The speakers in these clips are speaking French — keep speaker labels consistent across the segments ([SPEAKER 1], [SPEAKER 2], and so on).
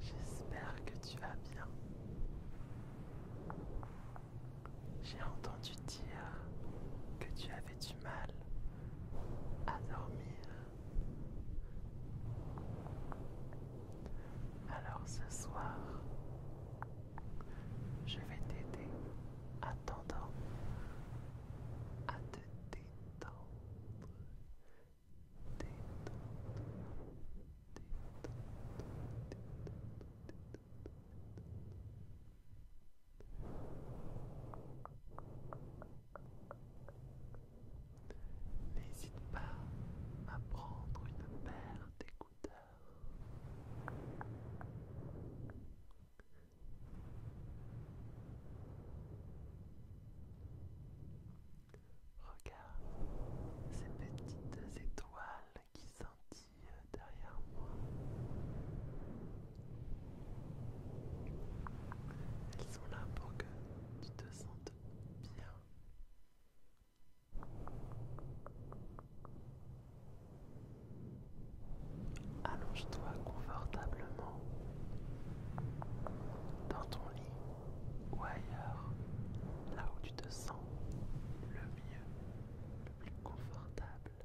[SPEAKER 1] J'espère que tu vas bien. J'ai entendu dire que tu avais du mal à dormir. Alors ce soir, je vais t'aider attendant à te détendre. N'hésite pas à prendre une paire Regarde ces petites étoiles qui scintillent derrière moi. Elles sont là pour que tu te sentes bien Allonge-toi confortablement dans ton lit ou ailleurs, là où tu te sens le mieux, le plus confortable.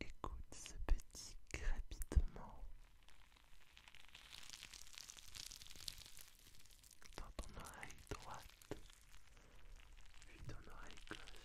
[SPEAKER 1] Écoute ce petit crépitement dans ton oreille droite, puis ton oreille gauche.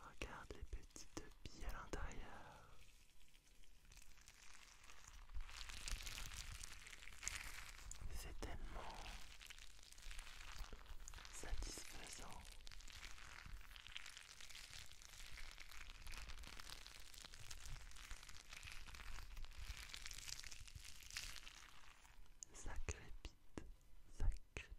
[SPEAKER 1] Regarde les petites billes à l'intérieur. C'est tellement satisfaisant. Ça crépite, ça crépite.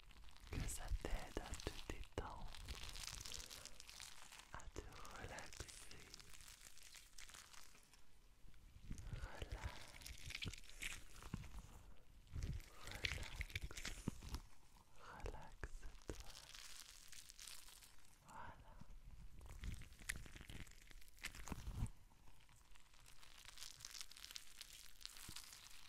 [SPEAKER 1] que ça t'aide à te détendre, à te relaxer. Relax, relax, relaxe-toi. Voilà.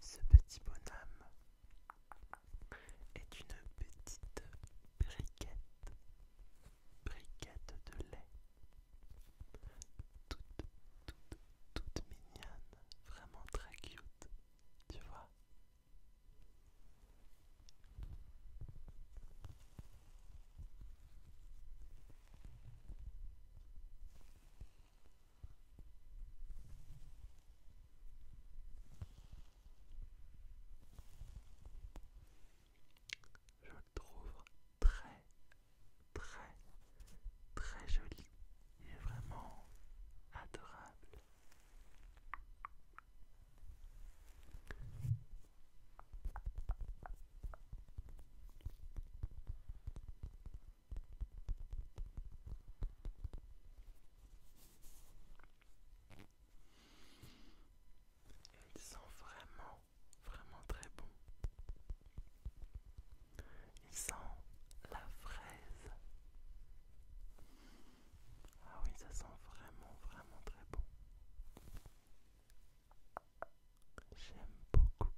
[SPEAKER 1] Ce petit bonhomme est une petite briquette, briquette de lait, toute, toute, toute mignonne, vraiment très cute, tu vois. Je le trouve très très très joli. et vraiment adorable. Ils sent vraiment, vraiment très bon. Ils sent la fraise. Ah oui, ça sent vraiment, vraiment très bon. J'aime beaucoup.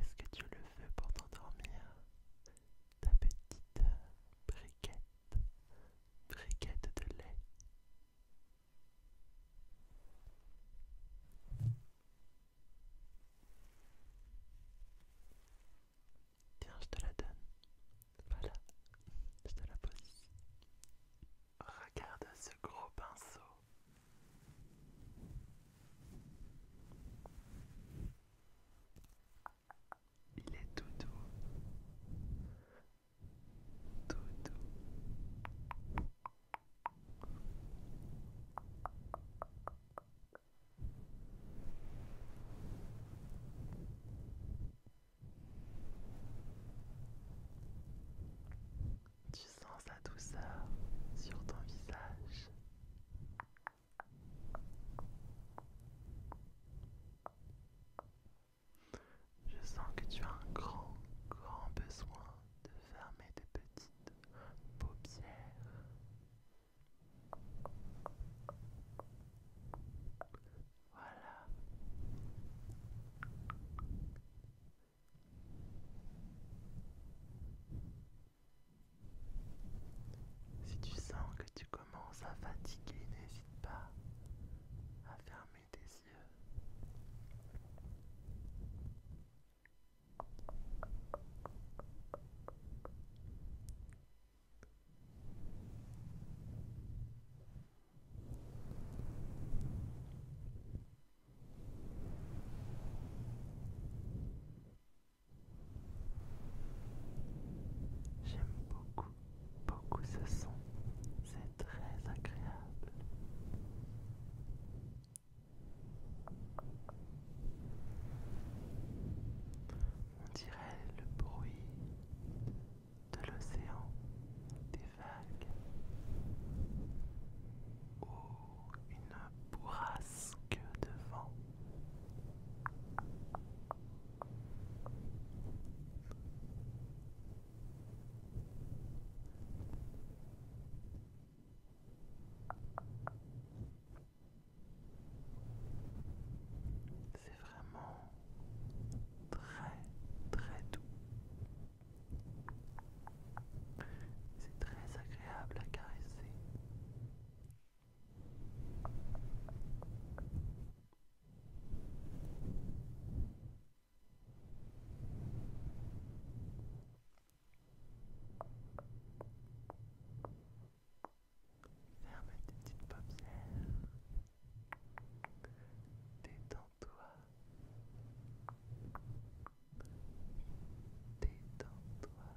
[SPEAKER 1] Est-ce que tu le veux pour t'endormir Ta petite euh, briquette, briquette de lait. Tiens, je te la donne. Voilà, je te la pose. Regarde ce gros pinceau. Il est tout doux. Tout doux. Tu sens sa douceur sur ton visage. Je sens que tu as un grand, grand besoin de fermer tes petits voilà. Si tu sens que tu commences à fatiguer, n'hésite pas à fermer tes yeux. J'aime beaucoup, beaucoup ce son, c'est très agréable. On dirait le bruit de l'océan, des vagues, ou oh, une bourrasque de vent. C'est vraiment très très doux. C'est très agréable à caresser. Ferme tes petites paupières. Détends-toi. Détends-toi. Détends-toi. Détends-toi. toi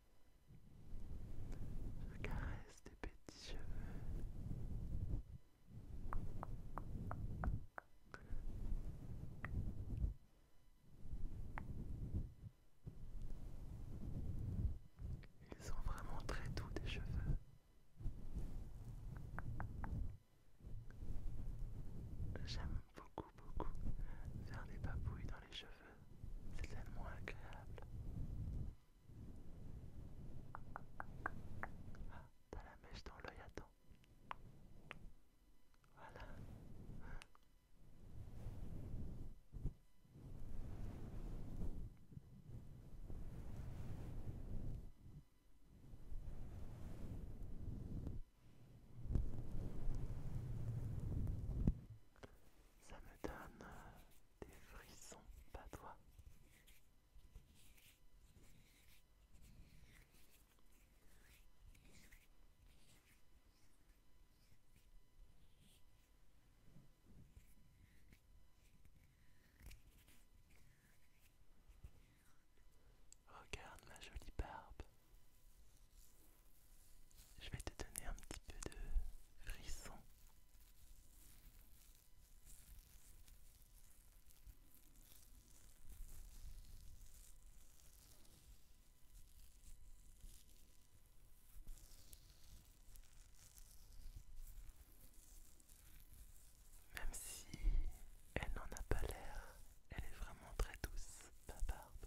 [SPEAKER 1] Je caresse tes petits cheveux. Ils sont vraiment très doux des cheveux. J'aime beaucoup beaucoup faire des papouilles dans les cheveux c'est tellement agréable. Ah, t'as la mèche dans l'œil, attends. Voilà. Ça me donne euh, des frissons, pas toi. Regarde ma jolie barbe. Je vais te donner un petit peu de risson. Même si elle n'en a pas l'air, elle est vraiment très douce, ta barbe.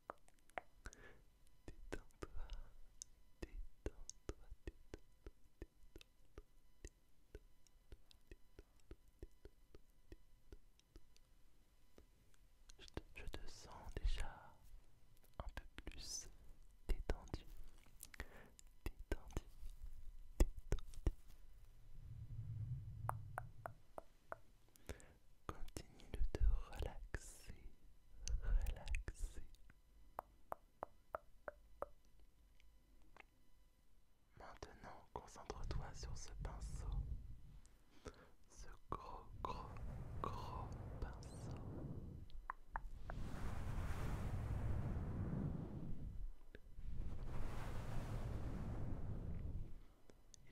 [SPEAKER 1] Détends-toi, toi Je te sens déjà un peu plus détendu, détendu, détendu. Continue de te relaxer, relaxer. Maintenant, concentre-toi sur ce pinceau. Ce gros, gros, gros pinceau.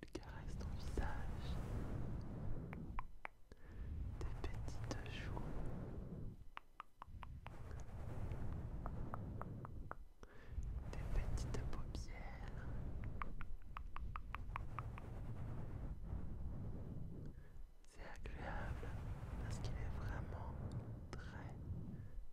[SPEAKER 1] Il caresse ton visage, tes petites joues. Des petites paupières, c'est agréable parce qu'il est vraiment très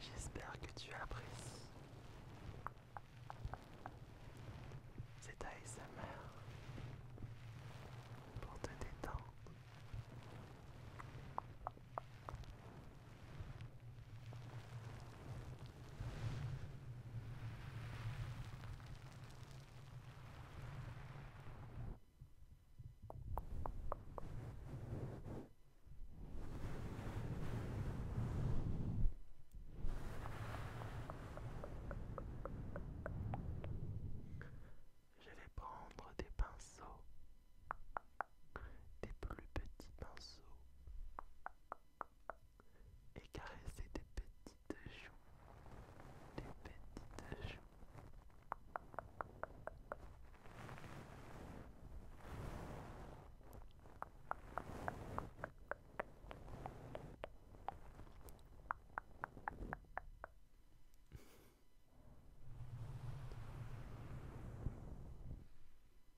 [SPEAKER 1] J'espère que tu apprécies. cette ASMR pour te détendre. Je vais prendre des pinceaux, des plus petits pinceaux et caresser des petites joues, des petites joues.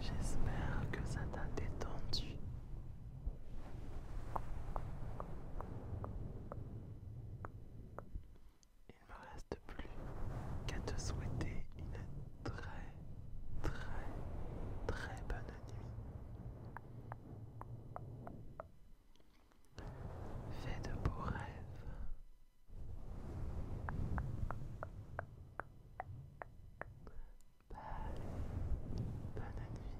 [SPEAKER 1] J'espère que ça t'a détendu. Il me reste plus qu'à te souhaiter une très très très bonne nuit. Fais de beaux rêves. Bye. Bonne nuit.